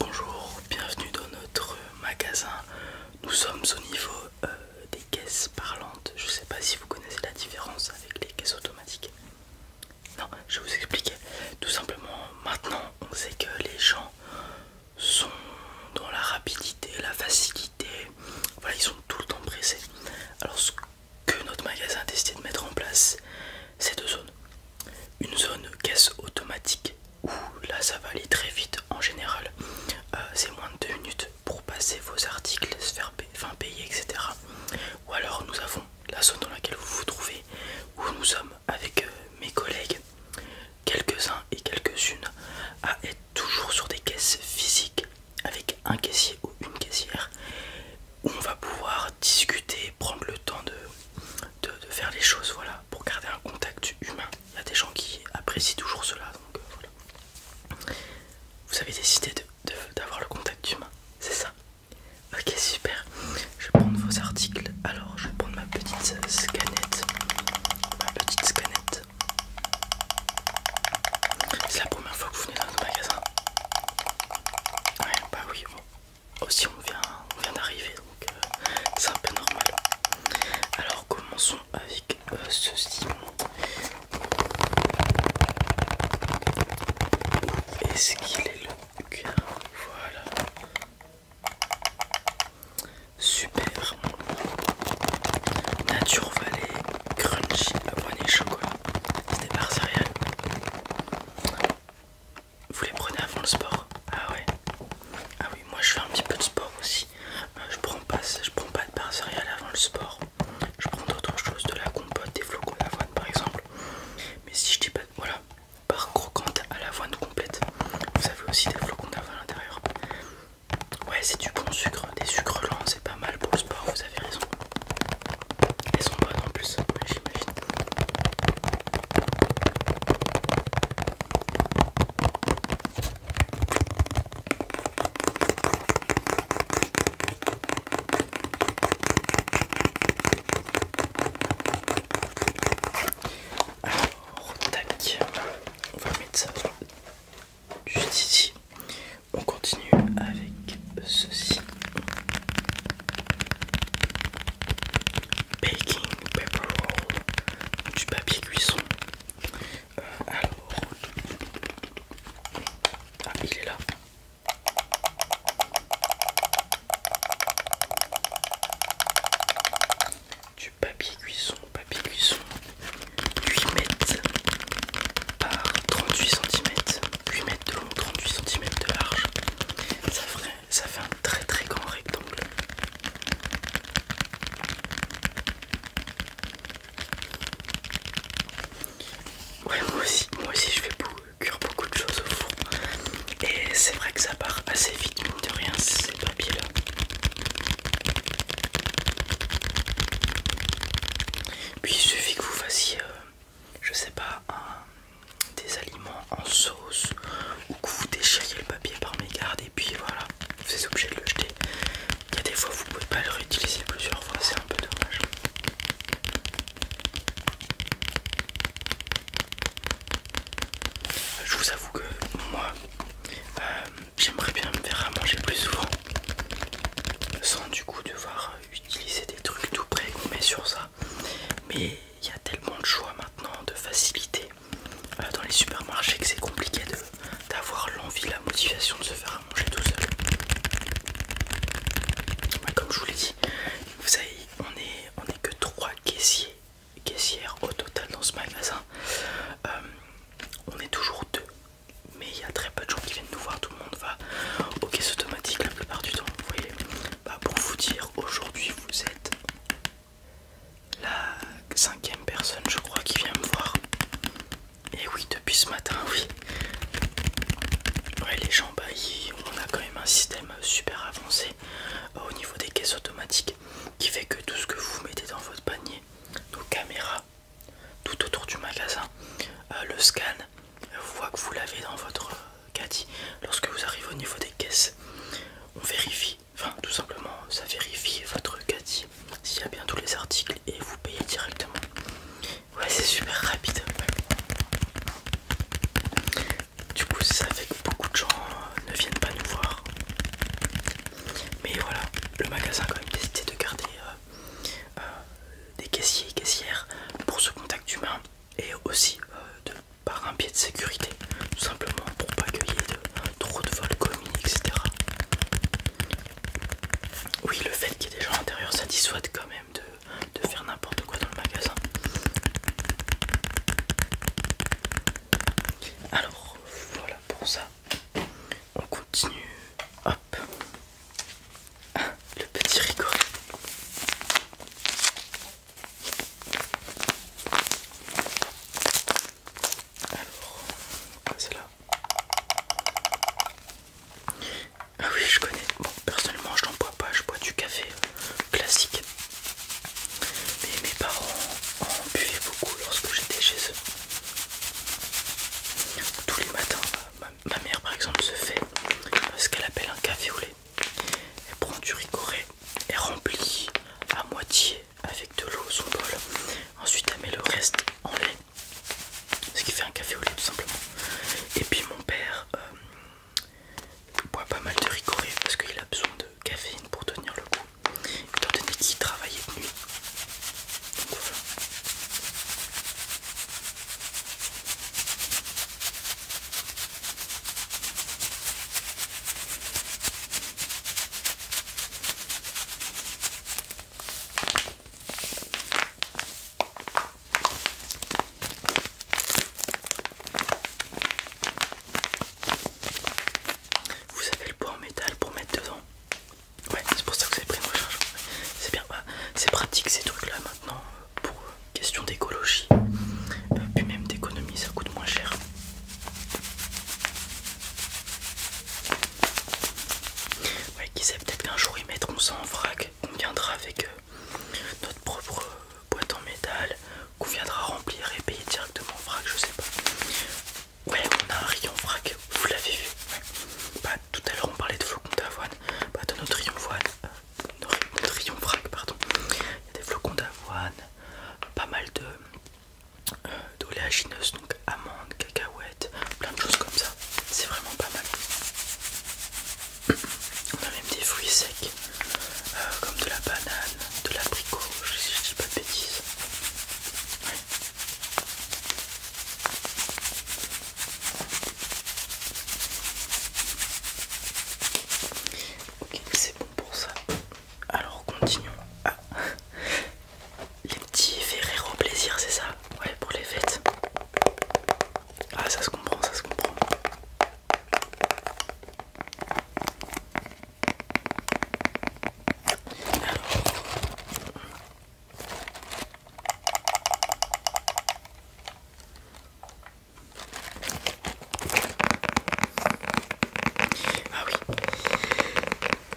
Bonjour, bienvenue dans notre magasin. Nous sommes au niveau euh, des caisses parlantes. Je ne sais pas si vous connaissez la différence avec les caisses automatiques. Non, je vais vous expliquer. Tout simplement, maintenant, on sait que les gens sont dans la rapidité, la facilité. Voilà, ils sont tout le temps pressés. Alors, ce que notre magasin a décidé de mettre en place, ces deux zones. Une zone caisse automatique où là ça va aller très vite en général, euh, c'est moins de deux minutes pour passer vos articles, se faire payer, etc. Ou alors nous avons la zone dans laquelle vous vous trouvez, où nous sommes avec euh, mes collègues, quelques-uns et quelques-unes, à être toujours sur des caisses physiques avec un caissier ou une caissière on va pouvoir discuter, prendre le temps de, faire les choses, voilà, pour garder un contact humain. Il y a des gens qui apprécient toujours cela, donc euh, voilà. Vous avez décidé d'avoir le contact humain, c'est ça Ok, super. Je vais prendre vos articles. Alors, je vais prendre ma petite scanette. Ma petite scanette. C'est la première fois que vous venez dans un magasin. bah oui, aussi oh, on vient, vient d'arriver donc euh, c'est un peu normal. Alors commençons avec ce euh, ceci Est-ce qu'il est le cœur Voilà. Super. Nature Valley Crunchy à poignée Chocolat. des barres céréales. Vous les prenez avant le sport Ah ouais Ah oui, moi je fais un petit peu de sport aussi. Euh, je prends pas je prends pas de barres céréales avant le sport. Je prends d'autres choses, de la compote, des flocons d'avoine par exemple. Mais si je dis pas... Voilà, par croquante à l'avoine complète. Vous avez aussi des flocons d'avoine à l'intérieur. Ouais, c'est du bon sucre, des sucres lents, c'est pas mal pour le sport, vous avez raison. Elles son bonnes en plus, j'imagine. Alors, qui. on va mettre ça juste ici. On continue avec ceci. Baking paper roll, du papier cuisson. Euh, alors, ah, il est là. Du papier cuisson, papier cuisson, 8 mètres par 38 cm, 8 mètres de long, 38 cm de large. Ça, fait un très très grand rectangle. Ouais, moi aussi, moi aussi je fais cuire beaucoup de choses au fond. Et c'est vrai que ça part assez vite, mine de rien, ces papiers-là. Puis il suffit que vous fassiez, euh, je sais pas, des aliments en sauce ou que vous déchiriez le papier par mégarde et puis voilà, vous êtes obligé de le jeter. Il y a des fois vous pouvez pas le réutiliser plusieurs fois, c'est un peu dommage. Je vous avoue que moi, euh, j'aimerais bien me faire à manger plus souvent sans du coup devoir utiliser des trucs tout près qu'on met sur ça mais il y a tellement de choix maintenant de facilité euh, dans les supermarchés que c'est compliqué d'avoir l'envie la motivation de se faire à manger tout seul comme je vous l'ai dit vous savez on est que trois caissiers caissières au total dans ce magasin euh, on est toujours deux mais il y a très peu de gens qui viennent nous voir, tout le monde va aux caisses automatiques la plupart du temps, vous voyez. Bah, pour vous dire, aujourd'hui vous êtes la cinquième personne je crois qui vient me voir. Et oui, depuis ce matin, oui. Ouais, les gens, bah, on a quand même un système super avancé euh, au niveau des caisses automatiques qui fait que tout ce que vous mettez dans votre panier, nos caméras, tout autour du magasin. Euh, le scan voit que vous l'avez dans votre euh, caddie. Lorsque vous arrivez au niveau des caisses, on vérifie, enfin tout simplement, ça vérifie votre caddie s'il y a bien tous les articles et vous payez directement. Ouais, c'est super rapide. Du coup, ça fait beaucoup de gens euh, ne viennent pas nous voir mais voilà, le magasin a quand même décidé de garder euh, euh, des caissiers et caissières pour ce contact humain et aussi euh, de, par un pied de sécurité, tout simplement pour pas qu'il y ait trop de vols commis, etc. Oui, le fait qu'il y ait des gens à l'intérieur, ça quand même de faire n'importe quoi dans le magasin. Alors, voilà pour ça on continue. Hop, le petit rigolet. Alors, c'est là. Ah oui, je connais. Bon, personnellement, je n'en bois pas, je bois du café classique. Mais mes parents en buvaient beaucoup lorsque j'étais chez eux. Tous les matins, ma, mère par exemple se fait ce qu'elle appelle un café au lait. Elle prend du ricoré elle remplit à moitié avec de l'eau son bol. Ensuite, elle met le reste en lait. Ce qui fait un café au lait tout simplement. Et puis mon père euh, boit pas mal de ricoré parce qu'il a besoin de caféine pour tenir le coup, étant donné nuit. Vous avez le bois en métal pour mettre dedans. Ouais, c'est pour ça que vous avez pris une recharge. C'est bien, bah, c'est pratique ces trucs là maintenant euh, pour euh, question d'écologie, euh, puis même d'économie, ça coûte moins cher. Ouais, qui sait, peut-être qu'un jour ils mettront ça en vrac, on viendra avec notre propre boîte en métal qu'on viendra remplir et payer directement en vrac, je sais pas. Ouais, on a un rayon frac, vous l'avez vu. Bah, tout à l'heure on parlait de flocons d'avoine. de bah, dans notre rayon euh, pardon, il y a des flocons d'avoine, pas mal de euh, d'oléagineuses, donc amandes, cacahuètes, plein de choses comme ça. C'est vraiment pas mal. On a même des fruits secs. Euh, comme de la banane, de l'abricot, si je dis pas de bêtises. Ok, c'est bon pour ça. Alors continuons. Ah. Les petits verres plaisirs plaisir, c'est ça Ouais, pour les fêtes. Ah, ça se comprend, ça se comprend. Ah oui,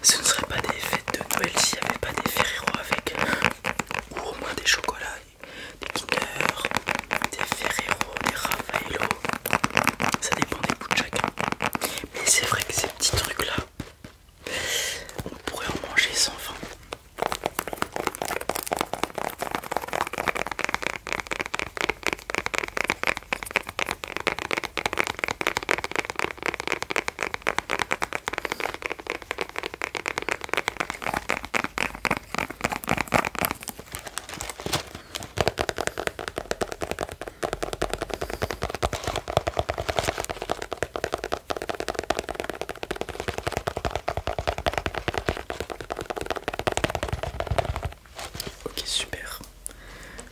ce ne serait pas des fêtes de Noël s'il n'y avait pas des Ferrero avec, ou au moins des chocolats des Kinder, des Ferrero, des Raffaello, ça dépend des goûts de chacun. Mais c'est vrai que ces petits trucs là, on pourrait en manger sans fin. Ok super.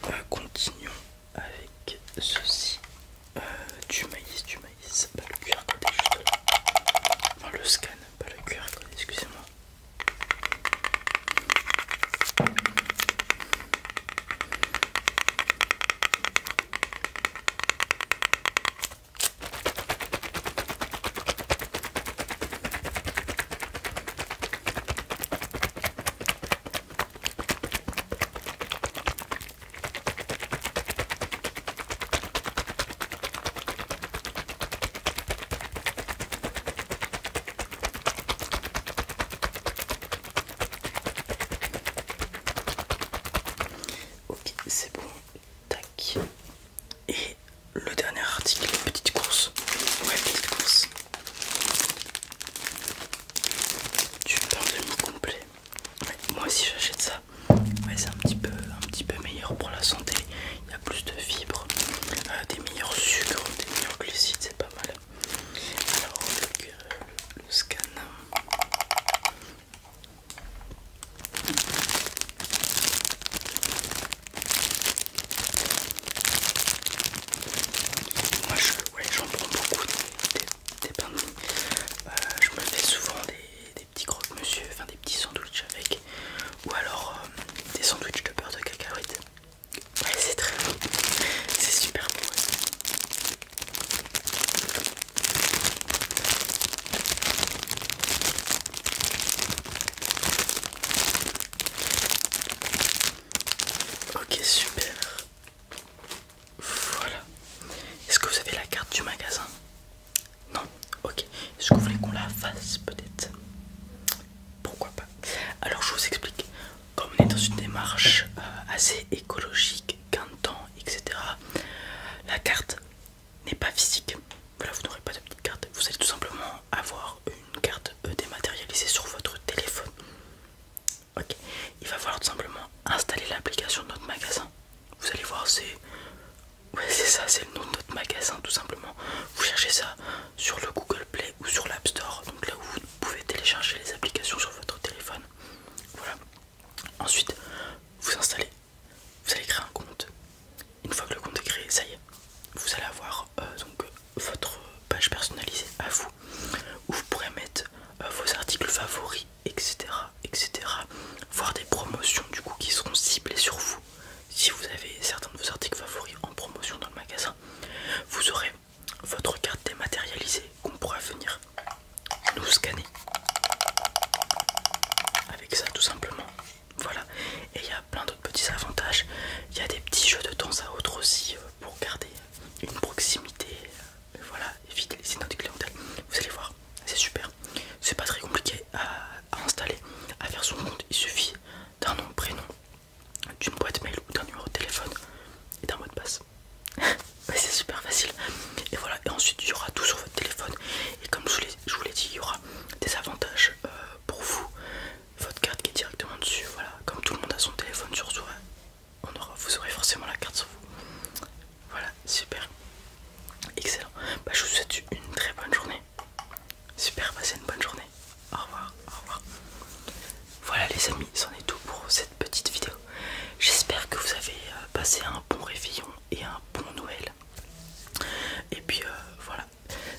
Euh, continuons avec ceci. Euh, du maïs, du maïs. Bah, le QR à côté le scan pas le cœur, excusez-moi. Ok, c'est bon. Tac. Et le dernier article, petite course. Ouais, petite course. Tu parles de mi-complet. moi aussi j'achète ça c'est un petit peu un petit peu meilleur pour la santé il y a plus de fibres euh, des meilleurs sucres des meilleurs glucides c'est pas mal alors le, scan moi je j'en prends beaucoup des, des, euh, je me fais souvent des des petits croque-monsieur, enfin des petits sandwichs avec, ou alors euh, des sandwichs de beurre de cacahuète. Ouais, c'est très bon, c'est super bon. Ok, super. Voilà. Est-ce que vous avez la carte du magasin Non Ok. Est-ce que vous voulez qu'on la fasse peut-être Pourquoi pas Alors je vous explique. Comme on est dans une démarche euh, assez écologique, gain temps, etc. La carte n'est pas physique. Voilà, vous n'aurez pas de petite carte. Vous allez tout simplement avoir une carte euh, dématérialisée sur votre téléphone. Ok. Il va falloir tout simplement installer l'application de notre magasin. Vous allez voir, c'est. c'est ça, c'est le nom de notre magasin tout simplement. Vous cherchez ça sur le Google Play ou sur l'App Store, donc là où vous pouvez télécharger les applications sur votre téléphone. Voilà. Ensuite, vous installez, vous allez créer un compte. Une fois que le compte est créé, ça y est, vous allez avoir euh, donc votre page personnalisée à vous où vous pourrez mettre euh, vos articles favoris etc etc voir des promotions du coup qui seront ciblées sur vous si vous avez certains de vos articles favoris en promotion dans le magasin vous aurez votre carte dématérialisée qu'on pourra venir nous scanner avec ça tout simplement voilà et il y a plein d'autres petits avantages il y a des petits jeux de temps à autre aussi euh, pour garder une proximité euh, voilà et les identités clientèle vous allez voir c'est super c'est pas très compliqué à, installer à faire son compte il suffit d'un nom prénom d'une boîte mail ou d'un numéro de téléphone et d'un mot de passe c'est super facile et voilà et ensuite il y aura tout sur votre téléphone et comme je vous l'ai dit il y aura des avantages euh, pour vous votre carte qui est directement dessus voilà comme tout le monde a son téléphone sur soi vous aurez forcément la carte sur vous. Voilà, super. Excellent. Bah, je vous souhaite une très bonne journée. Super, passez une bonne journée. Au revoir, au revoir. Voilà les amis, c'en est tout pour cette petite vidéo. J'espère que vous avez euh, passé un bon réveillon et un bon Noël. Et puis euh, voilà.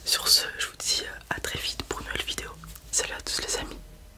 Sur ce, je vous dis euh, à très vite pour une nouvelle vidéo. Salut à tous les amis.